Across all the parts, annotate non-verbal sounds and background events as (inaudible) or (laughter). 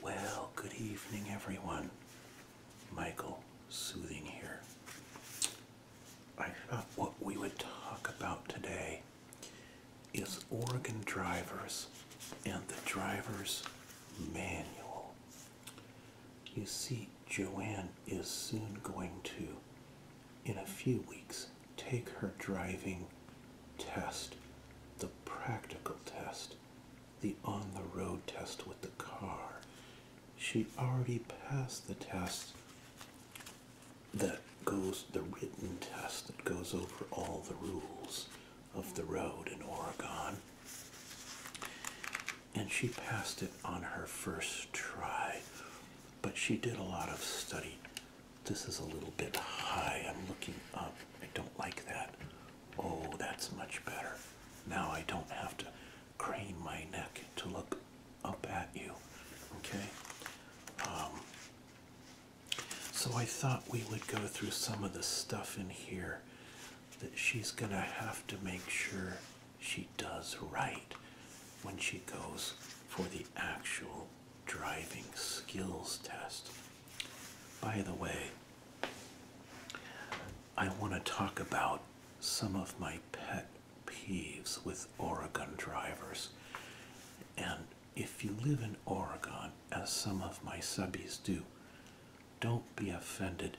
Well, good evening, everyone. Michael Soothing here. I thought uh, what we would talk about today is Oregon drivers and the driver's manual. You see, Joanne is soon going to, in a few weeks, take her driving test, the practical test the on the road test with the car. She already passed the test that goes, the written test that goes over all the rules of the road in Oregon. And she passed it on her first try, but she did a lot of study. This is a little bit high. I'm looking up. I don't like that. Oh, that's much better. Now I don't have to crane my neck to look up at you. Okay? Um, so I thought we would go through some of the stuff in here that she's going to have to make sure she does right when she goes for the actual driving skills test. By the way, I want to talk about some of my pet peeves with Oregon drivers. And if you live in Oregon, as some of my subbies do, don't be offended,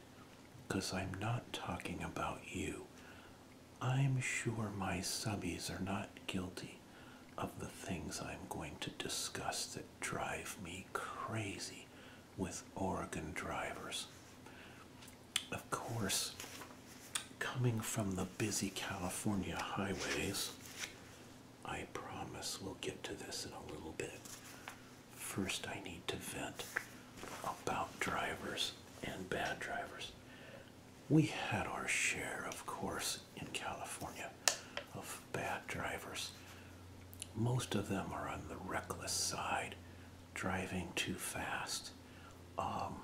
I'm not talking about you. I'm sure my subbies are not guilty of the things I'm going to discuss that drive me crazy with Oregon drivers. Of course, coming from the busy California highways, I promise we'll get to this in a little bit. First, I need to vent about drivers and bad drivers. We had our share, of course, in California of bad drivers. Most of them are on the reckless side, driving too fast, um,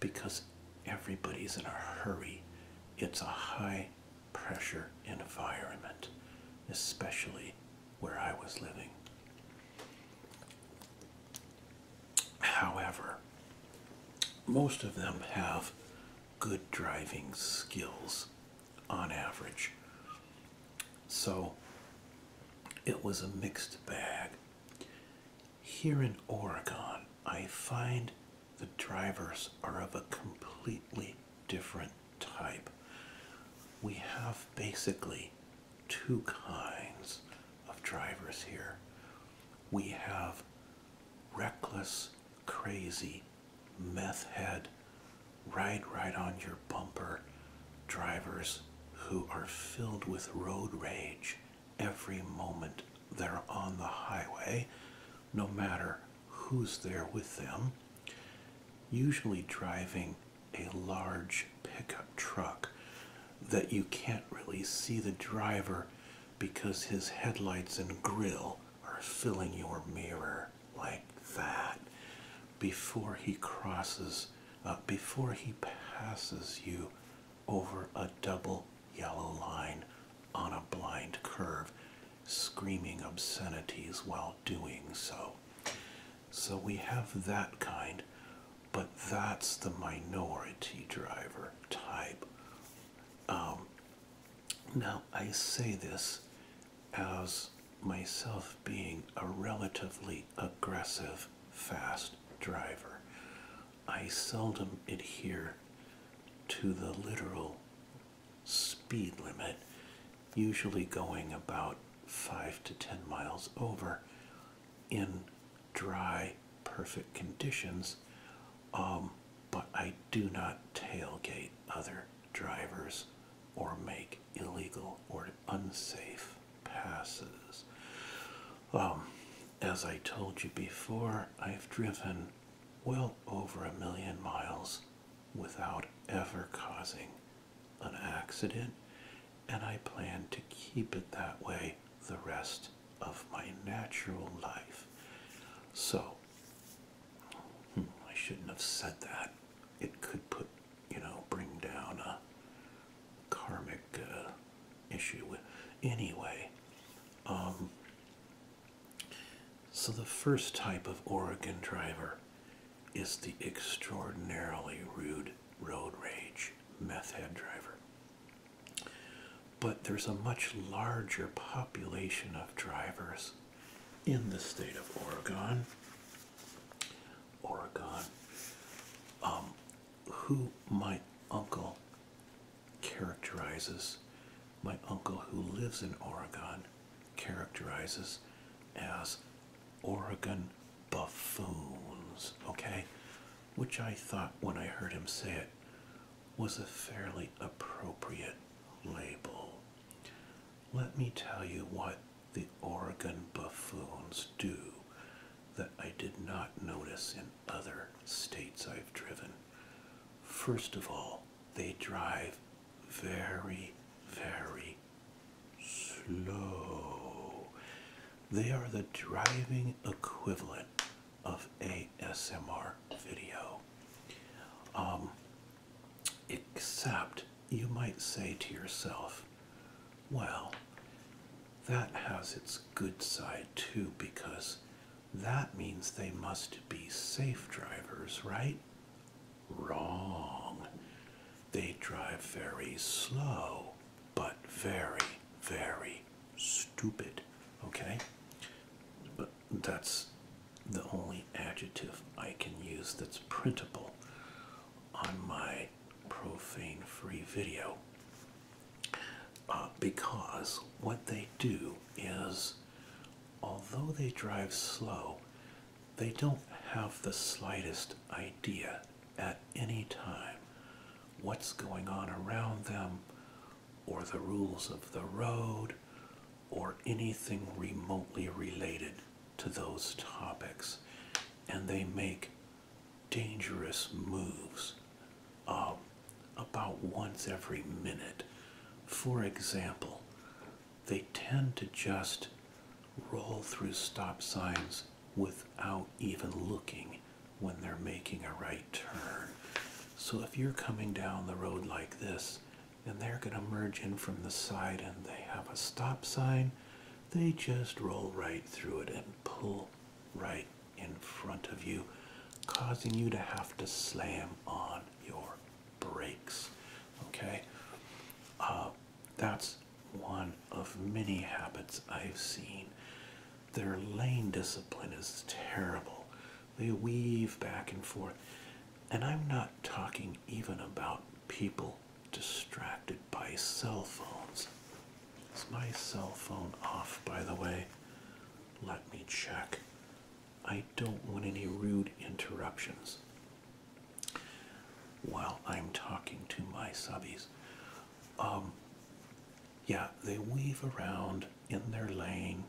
because everybody's in a hurry. It's a high pressure environment, especially where I was living. However, most of them have good driving skills on average. So it was a mixed bag. Here in Oregon, I find the drivers are of a completely different type. We have basically two kinds of drivers here. We have reckless, crazy meth head ride right on your bumper drivers who are filled with road rage every moment they're on the highway, no matter who's there with them, usually driving a large pickup truck that you can't really see the driver because his headlights and grill are filling your mirror like that before he crosses, uh, before he passes you over a double yellow line on a blind curve, screaming obscenities while doing so. So we have that kind, but that's the minority driver type. Um, now, I say this as myself being a relatively aggressive, fast driver. I seldom adhere to the literal speed limit, usually going about 5 to 10 miles over in dry, perfect conditions um, but I do not tailgate other drivers or make illegal or unsafe passes. Um, as I told you before, I've driven well over a million miles without ever causing an accident, and I plan to keep it that way the rest of my natural life. So, Hmm, I shouldn't have said that. It could put, you know, bring down a karmic uh, issue. Anyway, um, so the first type of Oregon driver is the extraordinarily rude road rage meth head driver but there's a much larger population of drivers in the state of Oregon. Oregon, um, who my uncle characterizes, my uncle who lives in Oregon characterizes as Oregon buffoons, okay? Which I thought when I heard him say it was a fairly appropriate label. Let me tell you what the Oregon buffoons do that I did not notice in other states I've driven. First of all, they drive very, very slow. They are the driving equivalent of a SMR video. Um, except you might say to yourself, well, that has its good side too, because that means they must be safe drivers, right? Wrong. They drive very slow, but very, very stupid. Okay? Uh, that's the only adjective I can use that's printable on my profane free video uh, because what they do is although they drive slow they don't have the slightest idea at any time what's going on around them or the rules of the road or anything remotely related to those topics. And they make dangerous moves uh, about once every minute. For example, they tend to just roll through stop signs without even looking when they're making a right turn. So if you're coming down the road like this and they're going to merge in from the side and they have a stop sign, they just roll right through it and pull right in front of you, causing you to have to slam on your brakes. Okay? Uh, that's one of many habits I've seen. Their lane discipline is terrible. They weave back and forth. And I'm not talking even about people distracted by cell phones. Is my cell phone off, by the way? Let me check. I don't want any rude interruptions while I'm talking to my subbies. Um, yeah, they weave around in their lane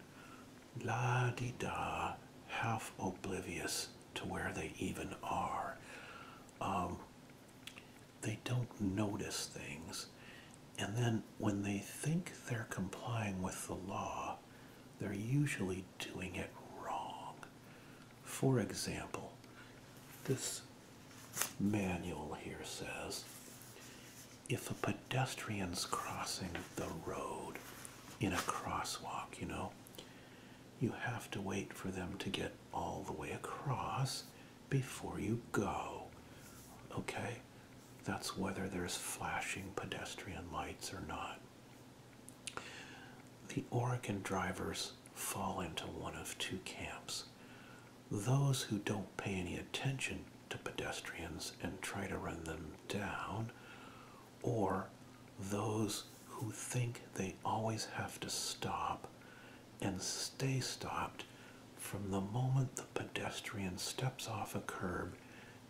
la di da, half oblivious to where they even are. Um, they don't notice things. And then when they think they're complying with the law, they're usually doing it wrong. For example, this manual here says if a pedestrian's crossing the road in a crosswalk, you know, you have to wait for them to get all the way across before you go. Okay? That's whether there's flashing pedestrian lights or not. The Oregon drivers fall into one of two camps. Those who don't pay any attention to pedestrians and try to run them down, or those who think they always have to stop and stay stopped from the moment the pedestrian steps off a curb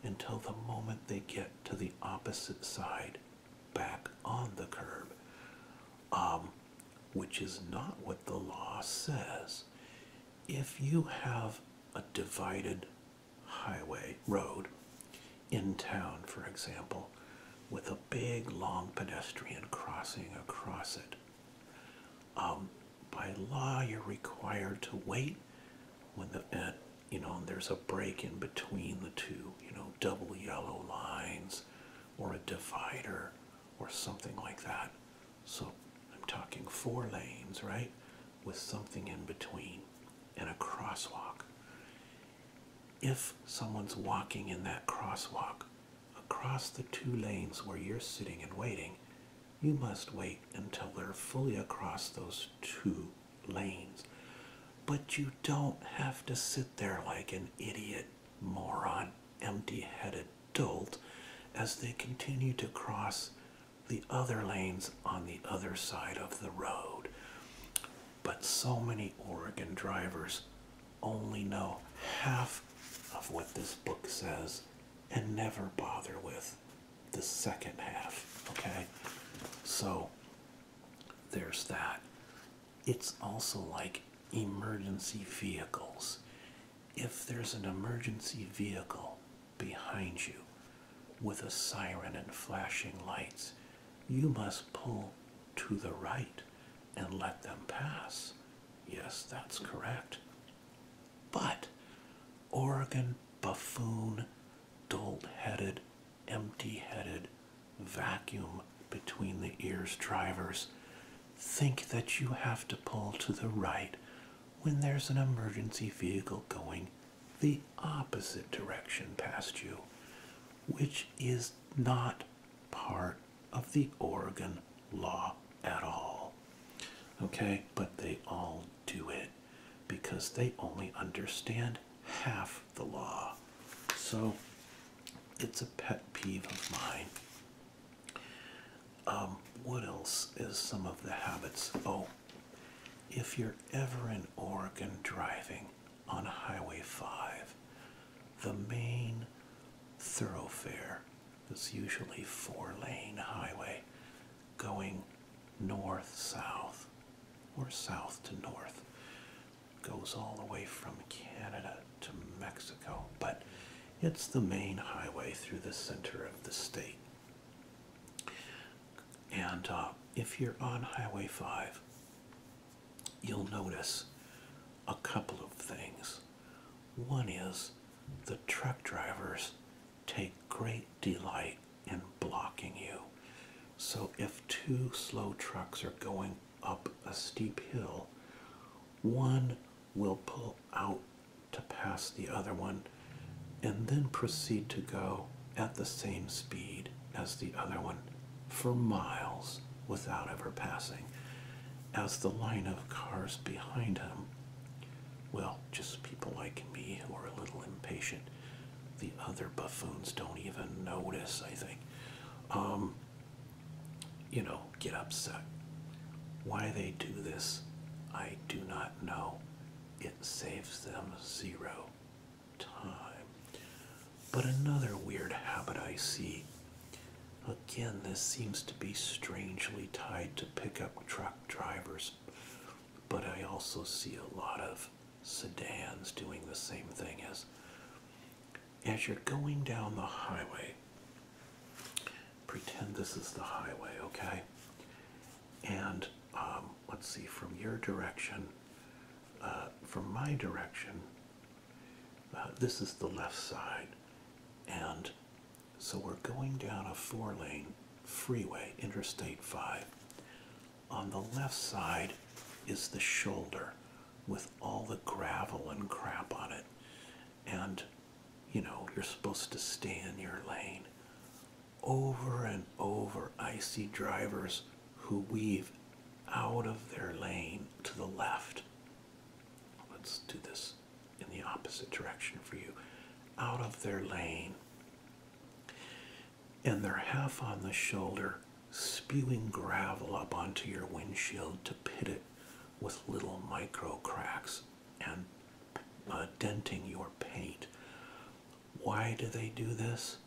until the moment they get to the opposite side back on the curb, um, which is not what the law says if you have a divided highway road in town, for example, with a big long pedestrian crossing across it, um, by law you're required to wait when the uh, you know there's a break in between the two, you know, double yellow lines or a divider or something like that. So I'm talking four lanes, right? With something in between and a crosswalk. If someone's walking in that crosswalk across the two lanes where you're sitting and waiting, you must wait until they're fully across those two lanes. But you don't have to sit there like an idiot, moron, empty headed dolt as they continue to cross the other lanes on the other side of the road. But so many Oregon drivers only know half of what this book says and never bother with the second half. Okay? So there's that. It's also like emergency vehicles. If there's an emergency vehicle behind you with a siren and flashing lights. You must pull to the right and let them pass. Yes, that's correct. But Oregon buffoon, dulled-headed, empty-headed, vacuum between the ears drivers think that you have to pull to the right when there's an emergency vehicle going the opposite direction past you, which is not part of the Oregon law at all. Okay, but they all do it because they only understand half the law. So it's a pet peeve of mine. Um, what else is some of the habits? Oh, if you're ever in Oregon driving on Highway 5, the main thoroughfare is usually four lane highway going north south or south to north goes all the way from Canada to Mexico but it's the main highway through the center of the state and uh, if you're on Highway 5, you'll notice a couple of things. One is the truck drivers take great delight in blocking you. So if two slow trucks are going up a steep hill, one will pull out to pass the other one and then proceed to go at the same speed as the other one for miles without ever passing, as the line of cars behind him, well, just people like me who are a little impatient, the other buffoons don't even notice, I think, um, you know, get upset. Why they do this, I do not not it saves them zero time. But another weird habit I see, again, this seems to be strangely tied to pickup truck drivers, but I also see a lot of sedans doing the same thing as as you're going down the highway Pretend this is the highway, okay? And um, let's see, from your direction, uh, from my direction, uh, this is the left side. And so we're going down a four lane freeway, Interstate 5. On the left side is the shoulder with all the gravel and crap on it. And you know, you're supposed to stay in your lane. Over and over, I see drivers who weave out of their lane to the left. Let's do this in the opposite direction for you. Out of their lane. And they're half on the shoulder, spewing gravel up onto your windshield to pit it with little micro cracks and uh, denting your paint. Why do they do this?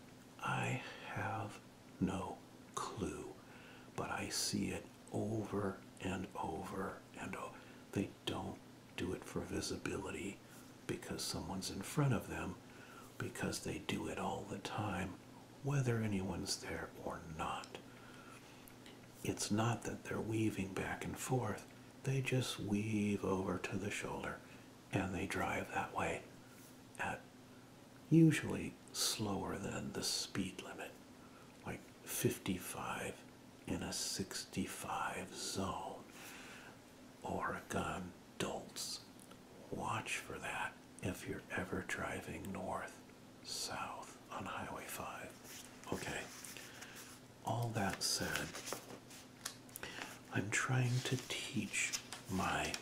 I have no clue, but I see it over and over and over. They don't do it for visibility because someone's in front of them, because they do it all the time, whether anyone's there or not. It's not that they're weaving back and forth, they just weave over to the shoulder and they drive that way at usually slower than the speed limit, like 55 in a 65 zone. Oregon dolts. Watch for that if you're ever driving north, south on Highway 5. Okay, all that said, I'm trying to teach my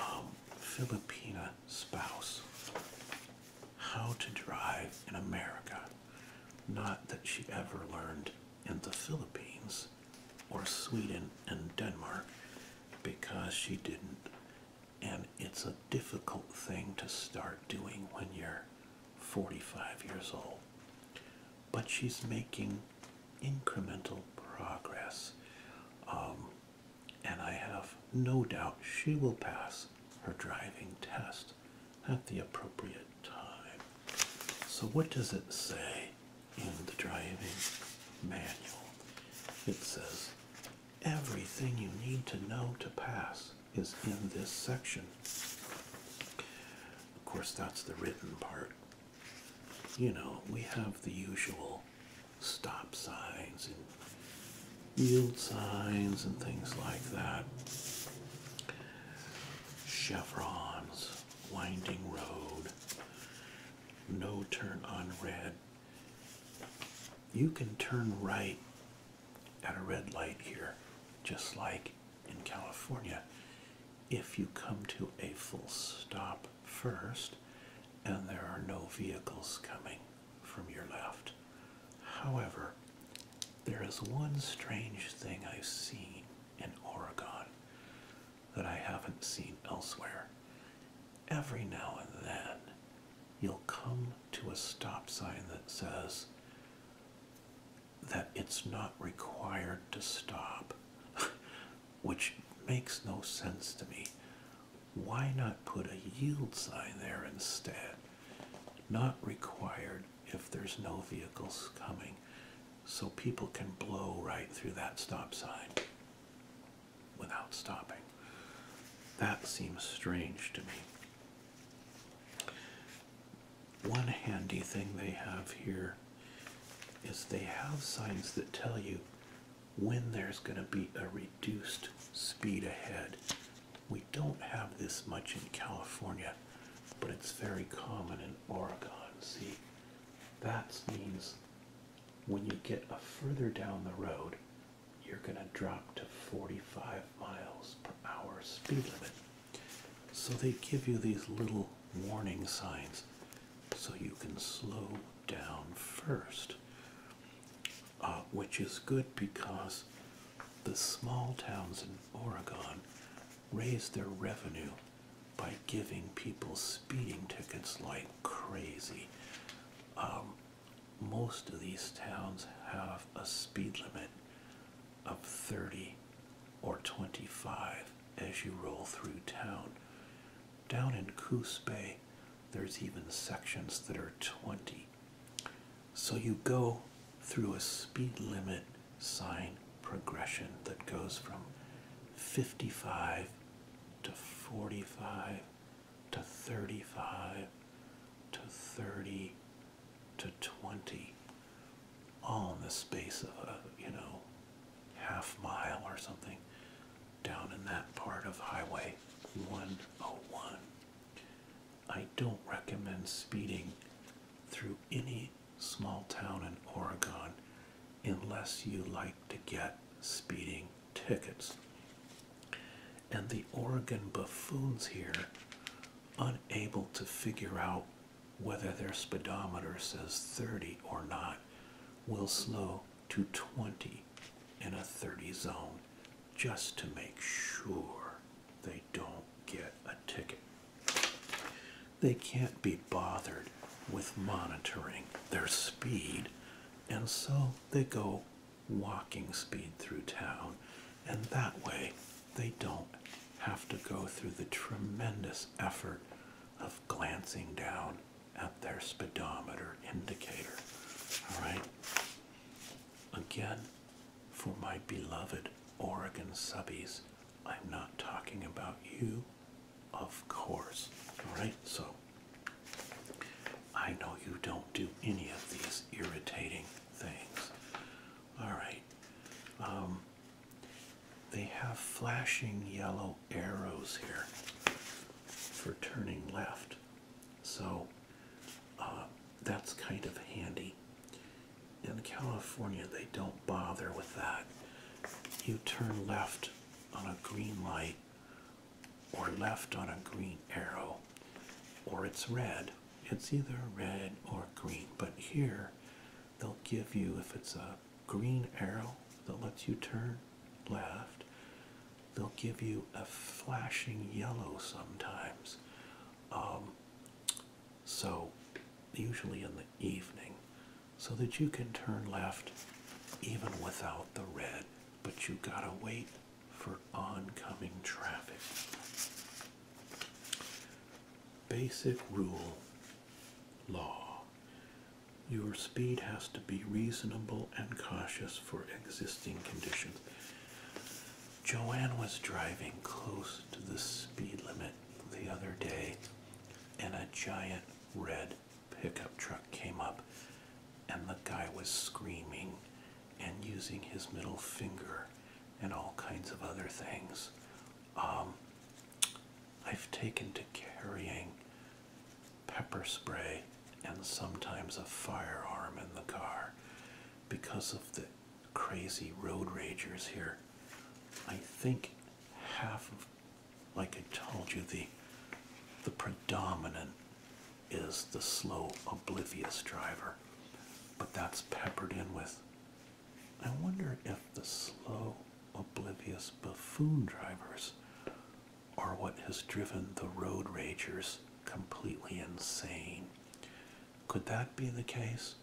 um, Filipina spouse how to drive in America. Not that she ever learned in the Philippines or Sweden and Denmark because she didn't. And it's a difficult thing to start doing when you're 45 years old. But she's making incremental progress. Um, and I have no doubt she will pass her driving test at the appropriate time. So, what does it say in the driving manual? It says everything you need to know to pass is in this section. Of course, that's the written part. You know, we have the usual stop signs and yield signs and things like that. Chevrons, winding road, no turn on red. You can turn right at a red light here, just like in California. If you come to a full stop first and there are no vehicles coming from your left. However, there is one strange thing I've seen in Oregon that I haven't seen elsewhere. Every now and then, you'll come to a stop sign that says that it's not required to stop, (laughs) which makes no sense to me. Why not put a yield sign there instead? Not required if there's no vehicles coming, so people can blow right through that stop sign without stopping. That seems strange to me. One handy thing they have here is they have signs that tell you when there's going to be a reduced speed ahead. We don't have this much in California, but it's very common in Oregon. See, that means when you get a further down the road, you're going to drop to 45 miles per hour speed limit. So they give you these little warning signs so you can slow down first, uh, which is good because the small towns in Oregon raise their revenue by giving people speeding tickets like crazy. Um, most of these towns have a speed limit of 30 or 25 as you roll through town. Down in Coos Bay, there's even sections that are 20. So you go through a speed limit sign progression that goes from 55 to 45 to 35 to 30 to 20 all in the space of a you know half mile or something down in that part of highway 101 i don't recommend speeding through any small town in oregon unless you like to get speeding tickets and the Oregon buffoons here unable to figure out whether their speedometer says 30 or not will slow to 20 in a 30 zone just to make sure they don't get a ticket. They can't be bothered with monitoring their speed and so they go walking speed through town, and that way they don't have to go through the tremendous effort of glancing down at their speedometer indicator. All right. Again, for my beloved Oregon subbies, I'm not talking about you, of course. All right. So I know you don't do any of these irritating things. All right. Um, they have flashing yellow arrows here for turning left. So uh, that's kind of handy. In California, they don't bother with that. You turn left on a green light, or left on a green arrow, or it's red, it's either red or green but here they'll give you if it's a green arrow that lets you turn left they'll give you a flashing yellow sometimes um, so usually in the evening so that you can turn left even without the red but you gotta wait for oncoming traffic. Basic rule law Your speed has to be reasonable and cautious for existing conditions. Joanne was driving close to the speed limit the other day, and a giant red pickup truck came up, and the guy was screaming and using his middle finger and all kinds of other things. Um, I've taken to carrying pepper spray and sometimes a firearm in the car because of the crazy road ragers here. I think half of, like I told you, the the predominant is the slow, oblivious driver, but that's peppered in with. I wonder if the slow, oblivious buffoon drivers are what has driven the road ragers completely insane. Could that be the case?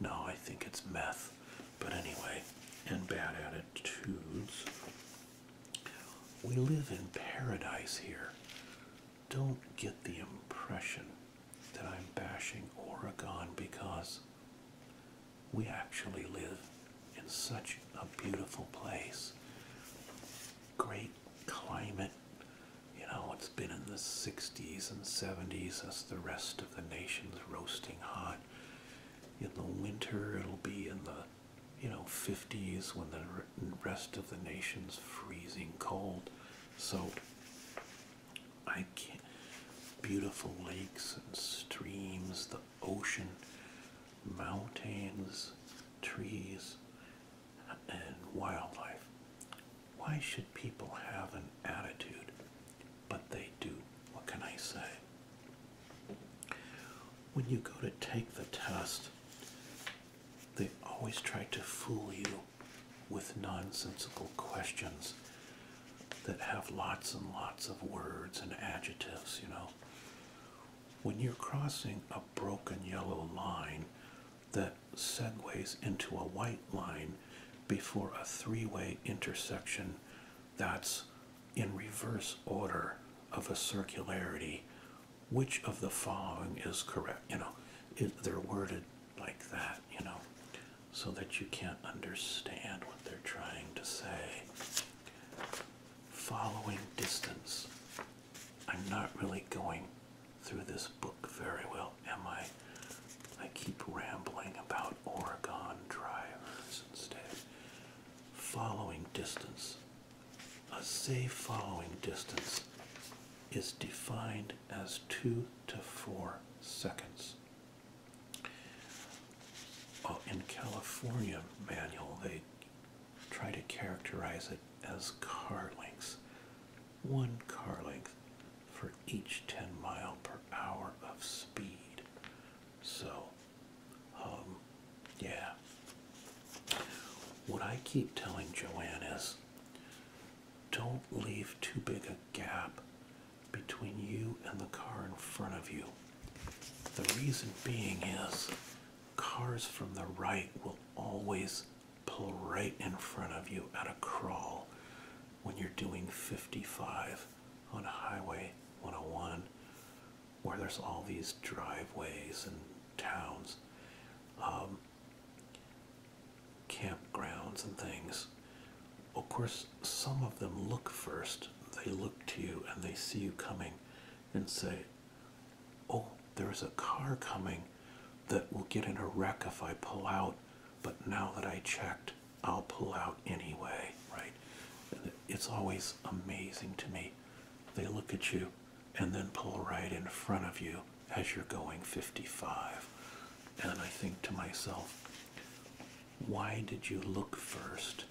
No, I think it's meth. But anyway, and bad attitudes. We live in paradise here don't get the impression that I'm bashing Oregon because we actually live in such a beautiful place. Great climate. You know, it's been in the 60s and 70s as the rest of the nation's roasting hot. In the winter, it'll be in the, you know, 50s when the rest of the nation's freezing cold. So I can't. Beautiful lakes and streams, the ocean, mountains, trees, and wildlife. Why should people have an attitude? But they do. What can I say? When you go to take the test, they always try to fool you with nonsensical questions that have lots and lots of words and adjectives, you know. When you're crossing a broken yellow line that segues into a white line before a three way intersection that's in reverse order of a circularity which of the following is correct you know they're worded like that you know so that you can't understand what they're trying to say following distance i'm not really going through this book very well am i i keep rambling about oregon drivers instead following distance a safe following distance is defined as 2 to 4 seconds. Well, in California manual, they try to characterize it as car lengths. One car length for each 10 mile per hour of speed. So, um, yeah. What I keep telling Joanne is don't leave too big a gap between you and the car in front of you. The reason being is cars from the right will always pull right in front of you at a crawl when you're doing 55 on Highway 101 where there's all these driveways and towns, um, campgrounds, and things. Of course, some of them look first. They look to you and they see you coming and say, Oh, there's a car coming that will get in a wreck if I pull out, but now that I checked, I'll pull out anyway, right? It's always amazing to me. They look at you and then pull right in front of you as you're going 55. And I think to myself, why did you look first?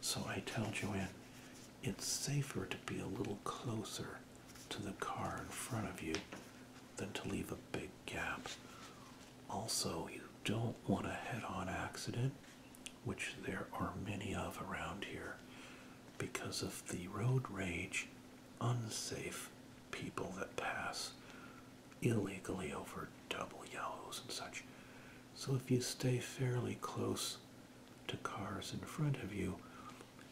So I tell Joanne, it's safer to be a little closer to the car in front of you than to leave a big gap. Also, you don't want a head on accident, which there are many of around here because of the road rage, unsafe people that pass illegally over double yellows and such. So if you stay fairly close to cars in front of you,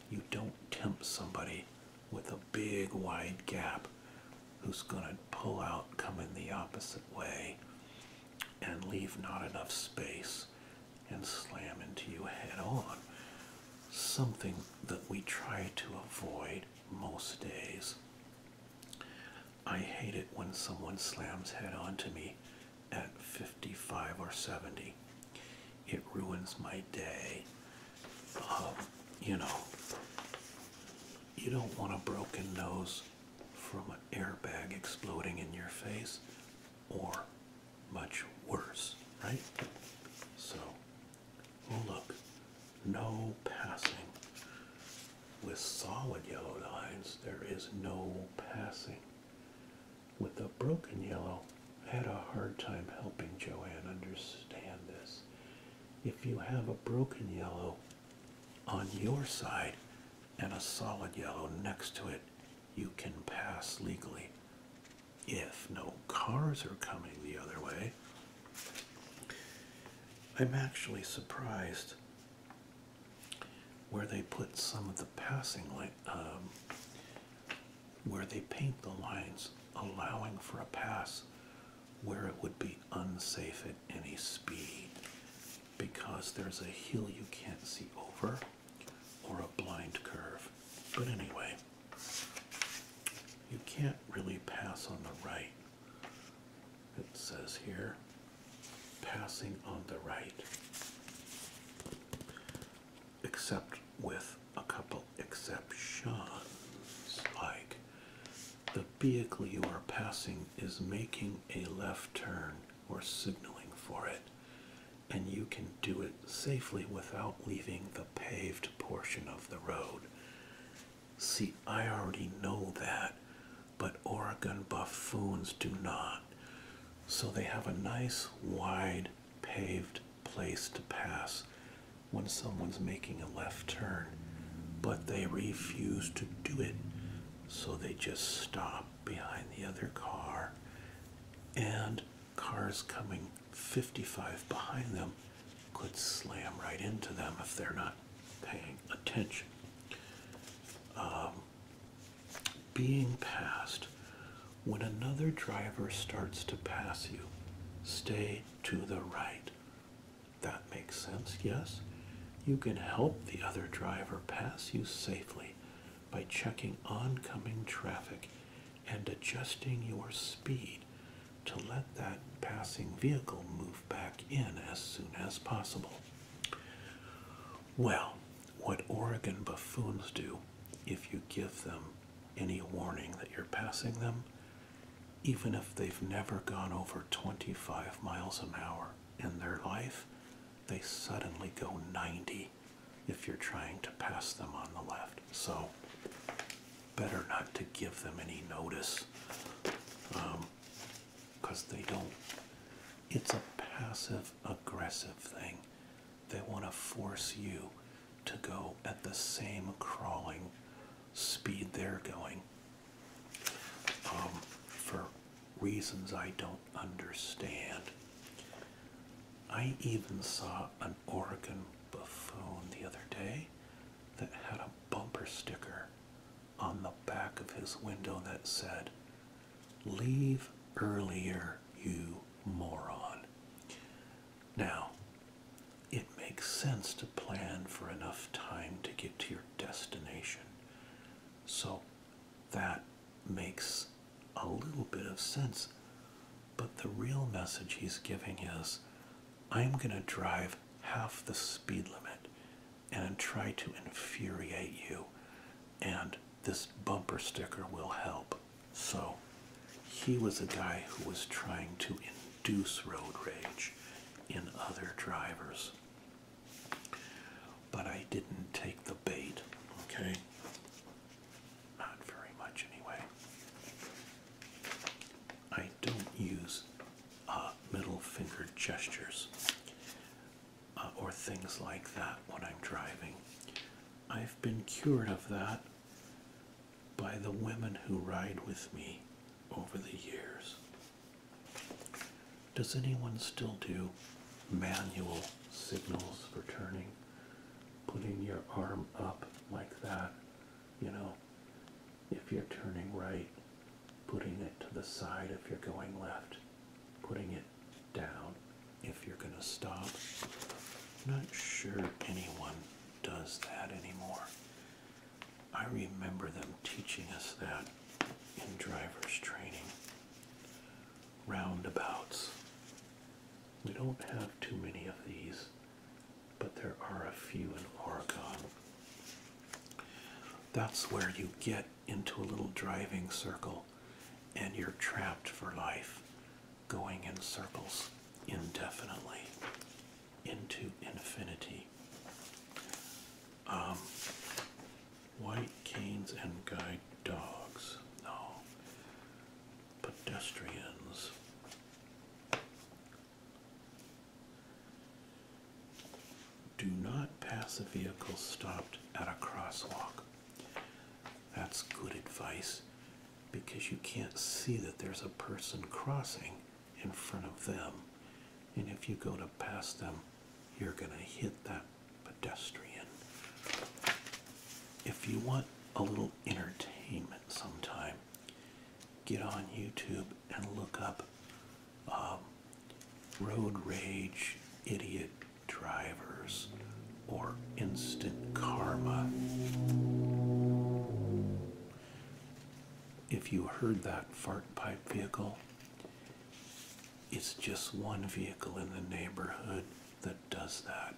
you don't tempt somebody with a big wide gap who's going to pull out coming the opposite way and leave not enough space and slam into you head on. Something that we try to avoid most days. I hate it when someone slams head on to me at 55 or 70. It ruins my day. Um, you know, you don't want a broken nose from an airbag exploding in your face or much worse, right? So, look, no passing. With solid yellow lines, there is no passing. With a broken yellow, I had a hard time helping Joanne understand this. If you have a broken yellow on your side and a solid yellow next to it, you can pass legally. If no cars are coming the other way, I'm actually surprised where they put some of the passing light, um, where they paint the lines allowing for a pass where it would be unsafe at any speed because there's a hill you can't see over or a blind curve. But anyway, you can't really pass on the right. It says here, passing on the right, except with a couple exceptions, like the vehicle you are passing is making a left turn or signaling for it, and you can do it safely without leaving the paved portion of the road. See, I already know that, but Oregon buffoons do not. So they have a nice, wide, paved place to pass when someone's making a left turn, but they refuse to do it, so they just stop behind the other car and cars coming 55 behind them could slam right into them if they're not paying attention. Um, being passed. When another driver starts to pass you, stay to the right. That makes sense, yes? You can help the other driver pass you safely by checking oncoming traffic and adjusting your speed to let that passing vehicle move back in as soon as possible. Well, what Oregon buffoons do if you give them any warning that you're passing them, even if they've never gone over 25 miles an hour in their life, they suddenly go 90 if you're trying to pass them on the left. So better not to give them any notice because um, they don't. It's a passive aggressive thing. They want to force you to go at the same crawling speed they're going. Um, for reasons I don't understand. I even saw an Oregon buffoon the other day that had a bumper sticker on the back of his window that said, Leave earlier, you moron. Now, it makes sense to plan for enough time to get to your destination. So that makes a little bit of sense. But the real message he's giving is I'm going to drive half the speed limit and try to infuriate you, and this bumper sticker will help. So he was a guy who was trying to induce road rage in other drivers but I didn't take the bait. Okay? Not very much, anyway. I don't use uh, middle finger gestures uh, or things like that when I'm driving. I've been cured of that by the women who ride with me over the years. Does anyone still do manual signals for turning, putting your arm up like that, you know, if you're turning right, putting it to the side if you're going left, putting it down if you're going to stop. not sure anyone does that anymore. I remember them teaching us that in driver's training roundabouts. We don't have too many of these, but there are a few in Oregon. That's where you get into a little driving circle and you're trapped for life, going in circles indefinitely into infinity. Um, White canes and guide dogs. No. Pedestrians. Do not pass a vehicle stopped at a crosswalk. That's good advice because you can't see that there's a person crossing in front of them. And if you go to pass them, you're going to hit them pedestrian. If you want a little entertainment sometime, get on YouTube and look up um, road rage idiot drivers or instant karma. If you heard that fart pipe vehicle, it's just one vehicle in the neighborhood that does that.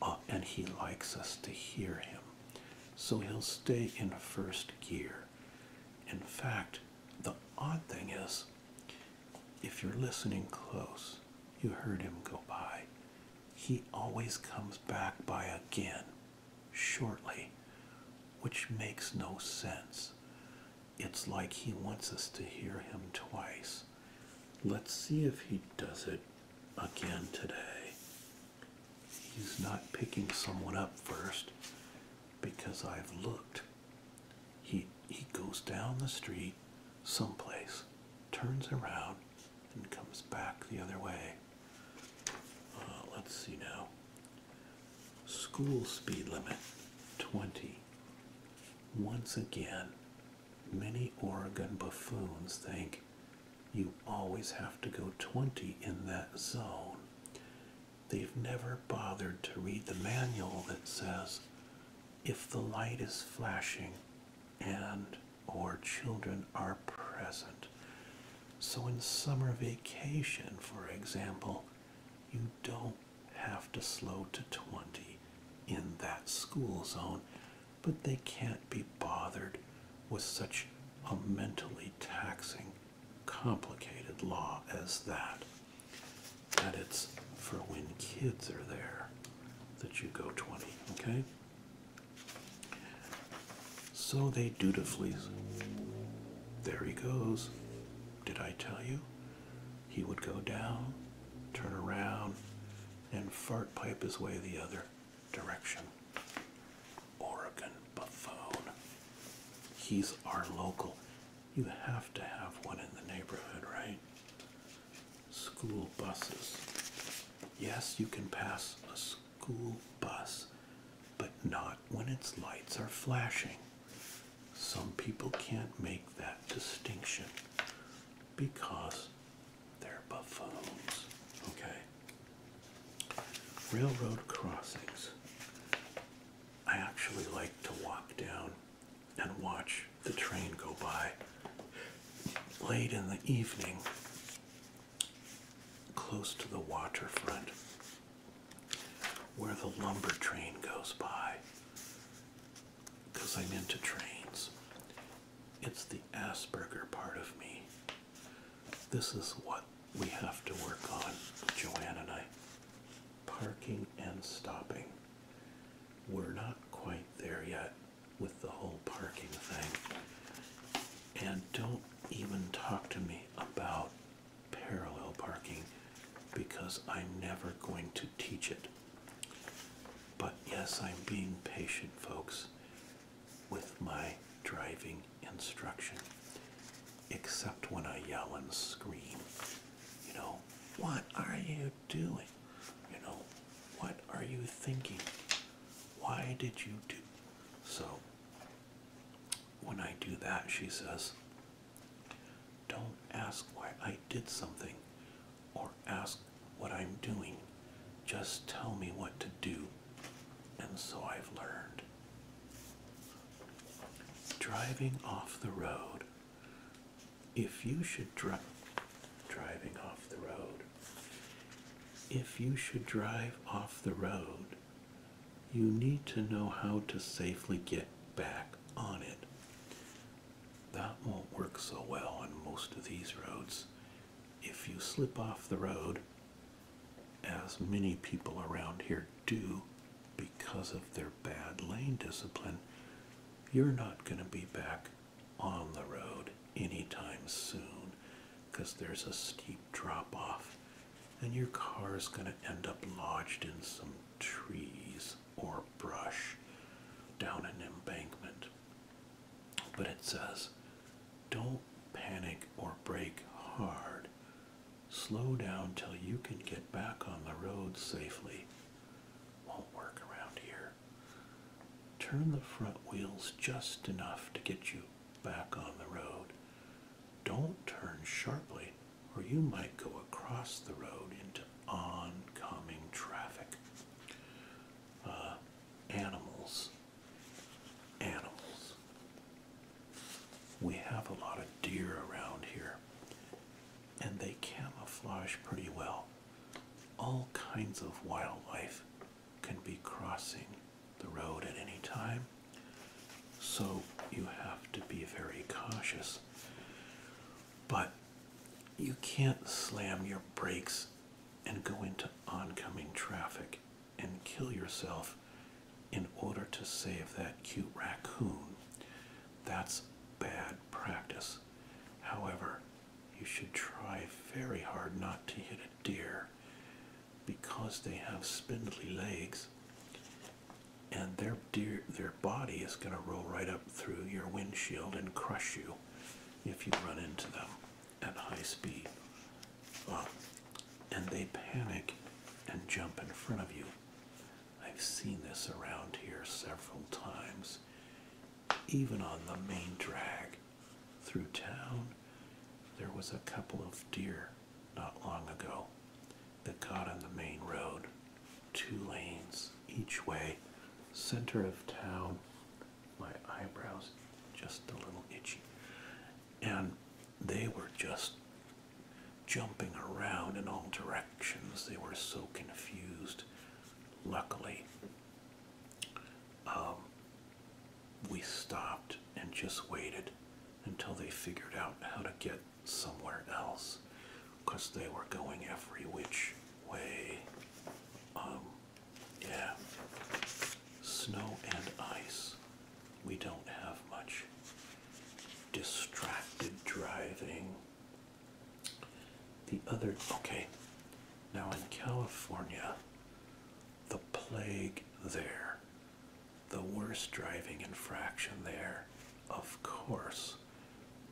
Uh, and he likes us to hear him. So he'll stay in first gear. In fact, the odd thing is, if you're listening close, you heard him go by. He always comes back by again, shortly, which makes no sense it's like he wants us to hear him twice. Let's see if he does it again today. He's not picking someone up first because I've looked. He, he goes down the street someplace, turns around, and comes back the other way. Uh, let's see now. School speed limit 20. Once again, many Oregon buffoons think you always have to go 20 in that zone. They've never bothered to read the manual that says if the light is flashing and or children are present. So in summer vacation, for example, you don't have to slow to 20 in that school zone, but they can't be bothered with such a mentally taxing, complicated law as that. That it's for when kids are there that you go 20, okay? So they dutifully, there he goes. Did I tell you? He would go down, turn around, and fart pipe his way the other direction. Oregon Buffone. He's our local. You have to have one in the neighborhood, right? School buses. Yes, you can pass a school bus, but not when its lights are flashing some people can't make that distinction because they're buffoons. Okay? Railroad crossings. I actually like to walk down and watch the train go by late in the evening close to the waterfront where the lumber train goes by because I'm into trains. It's the Asperger part of me. This is what we have to work on, Joanne and I. Parking and stopping. We're not quite there yet with the whole parking thing. And don't even talk to me about parallel parking because I'm never going to teach it. But yes, I'm being patient, folks, with my driving instruction, except when I yell and scream. You know, what are you doing? You know, what are you thinking? Why did you do so? When I do that, she says, don't ask why I did something or ask what I'm doing. Just tell me what to do. And so I've learned. Driving off the road. If you should drive driving off the road. If you should drive off the road, you need to know how to safely get back on it. That won't work so well on most of these roads. If you slip off the road, as many people around here do because of their bad lane discipline, you're not going to be back on the road anytime soon because there's a steep drop off and your car is going to end up lodged in some trees or brush down an embankment. But it says, don't panic or brake hard. Slow down till you can get back on the road safely. Won't work around here. Turn the front wheels just enough to get you back on the road. Don't turn sharply or you might go across the road into oncoming traffic. Uh, animals. Animals. We have a lot of deer around here, and they camouflage pretty well. All kinds of wildlife can be crossing the road at any time. So you have to be very cautious. But you can't slam your brakes and go into oncoming traffic and kill yourself in order to save that cute raccoon. That's bad practice. However, you should try very hard not to hit a deer because they have spindly legs and their deer, their body is going to roll right up through your windshield and crush you if you run into them at high speed. and they panic and jump in front of you. I've seen this around here several times, even on the main drag through town. There was a couple of deer not long ago that got on the main road, two lanes each way, center of town. My eyebrows just a little itchy. And they were just jumping around in all directions. They were so confused. Luckily, um, we stopped and just waited until they figured out how to get somewhere else because they were going every which way. Um, yeah, snow and ice. We don't have much distracted driving. The other, okay, now in California, the plague there the worst driving infraction there, of course,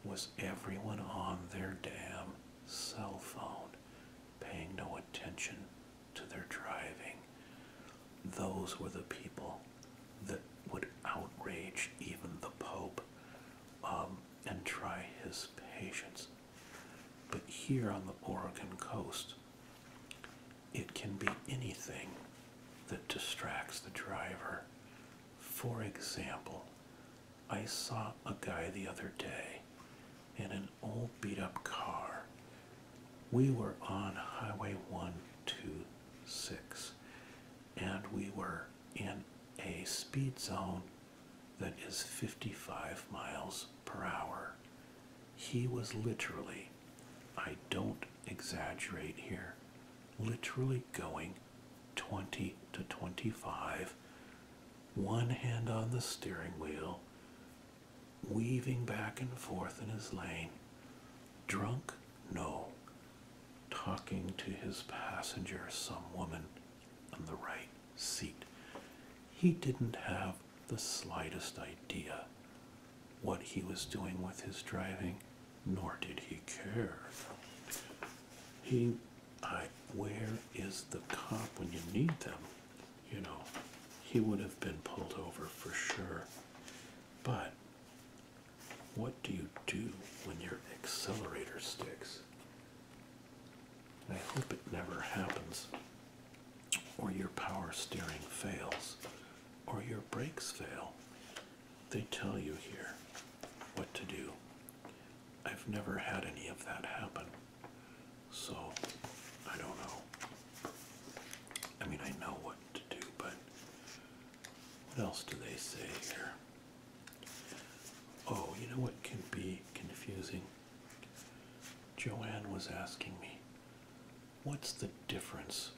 was everyone on their damn cell phone paying no attention to their driving. Those were the people that would outrage even the Pope um, and try his patience. But here on the Oregon coast, it can be anything that distracts the driver. For example, I saw a guy the other day in an old beat up car. We were on Highway 126 and we were in a speed zone that is 55 miles per hour. He was literally I don't exaggerate here, literally going 20 to 25, one hand on the steering wheel, weaving back and forth in his lane. Drunk? No. Talking to his passenger, some woman on the right seat. He didn't have the slightest idea what he was doing with his driving, nor did he care. He, I, where is the cop when you need them? You know, he would have been pulled over for sure. But what do you do when your accelerator sticks? I hope it never happens, or your power steering fails, or your brakes fail, they tell you here what to do. I've never had any of that happen, so I don't know. I mean, I know what to do, but what else do they say here? Oh, you know what can be confusing? Joanne was asking me, what's the difference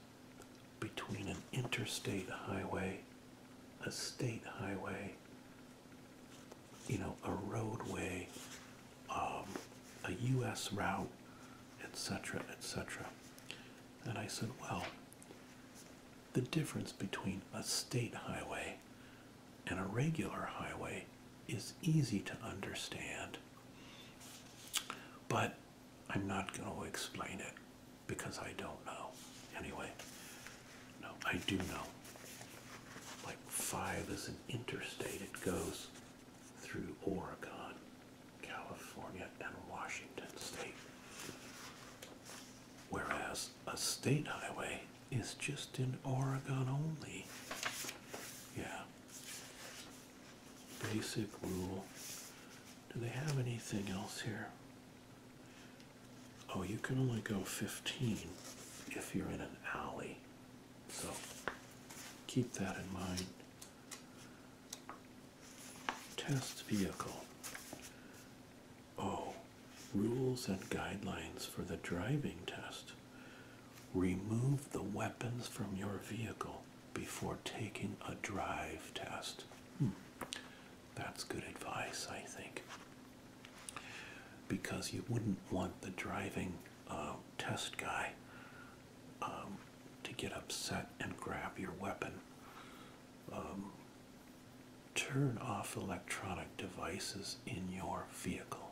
between an interstate highway, a state highway, you know, a roadway, um, a U.S. route, etc., etc. And I said, well, the difference between a state highway and a regular highway is easy to understand. But I'm not going to explain it because I don't know. Anyway, no, I do know. Like five is an interstate, it goes through Oregon, California, and Washington state. Whereas a state highway is just in Oregon only. Yeah basic rule. Do they have anything else here? Oh, you can only go 15 if you're in an alley. So keep that in mind. Test vehicle. Oh, rules and guidelines for the driving test. Remove the weapons from your vehicle before taking a drive test. Hmm. That's good advice, I think, because you wouldn't want the driving uh, test guy um, to get upset and grab your weapon. Um, turn off electronic devices in your vehicle,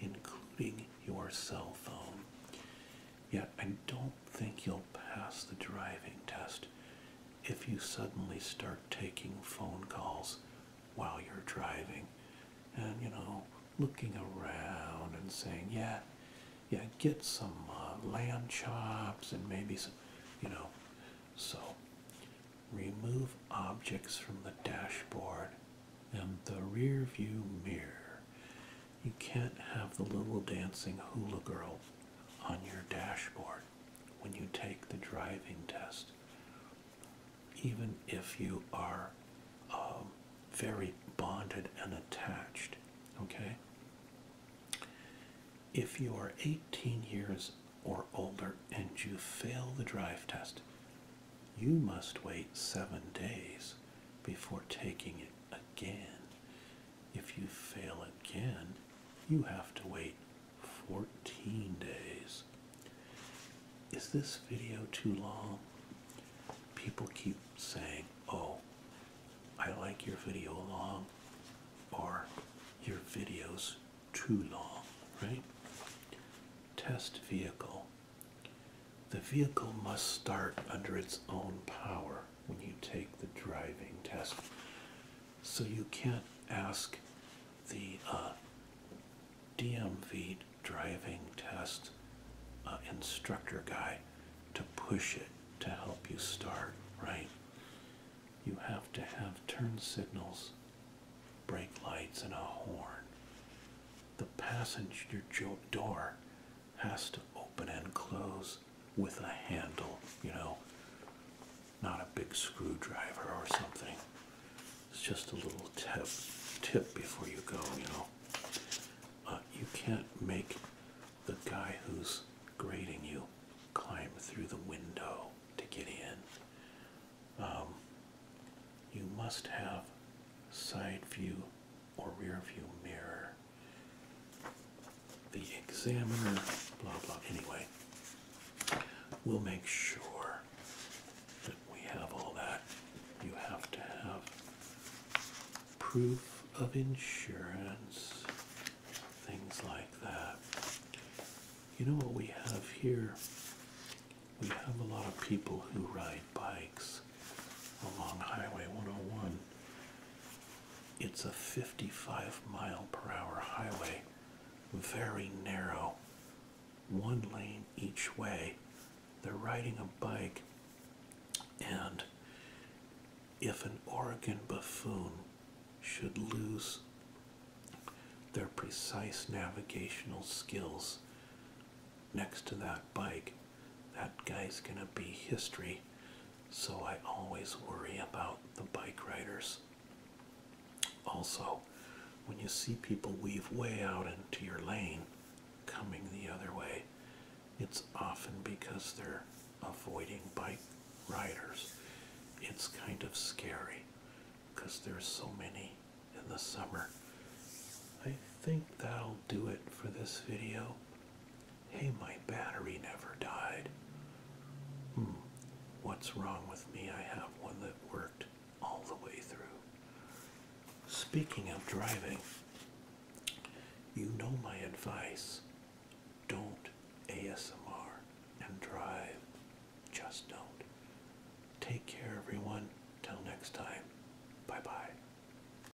including your cell phone. Yeah, I don't think you'll pass the driving test if you suddenly start taking phone calls while you're driving and, you know, looking around and saying, yeah, yeah, get some uh, lamb chops and maybe some, you know. So, remove objects from the dashboard and the rear view mirror you can't have the little dancing hula girl on your dashboard when you take the driving test, even if you are um, very bonded and attached. Okay? If you are 18 years or older and you fail the drive test, you must wait seven days before taking it again. If you fail again, you have to wait 14 days. Is this video too long? People keep saying, oh, I like your video long, or your video's too long, right? Test vehicle. The vehicle must start under its own power when you take the driving test. So you can't ask the uh, DMV driving test uh, instructor guy to push it to help you start, right? You have to have turn signals, brake lights, and a horn. The passenger door has to open and close with a handle, you know, not a big screwdriver or something. It's just a little tip, tip before you go, you know. you can't make the guy who's grading you climb through the window to get in. Um, you must have side view or rear view mirror. The examiner, blah blah. Anyway, we'll make sure that we have all that. You have to have proof of insurance, things like that. You know what we have here? We have a lot of people who ride bikes along Highway 101. It's a 55 mile per hour highway, very narrow, one lane each way. They're riding a bike, and if an Oregon buffoon should lose their precise navigational skills next to that bike, that guy's gonna be history. So I always worry about the bike riders. Also, when you see people weave way out into your lane coming the other way, it's often because they're avoiding bike riders. It's kind of scary because there's so many in the summer. I think that'll do it for this video. Hey, my battery never died. Hmm, what's wrong with me? I have one that worked all the way through. Speaking of driving, you know my advice. Don't ASMR and drive. Just don't. Take care, everyone. Till next time. Bye bye.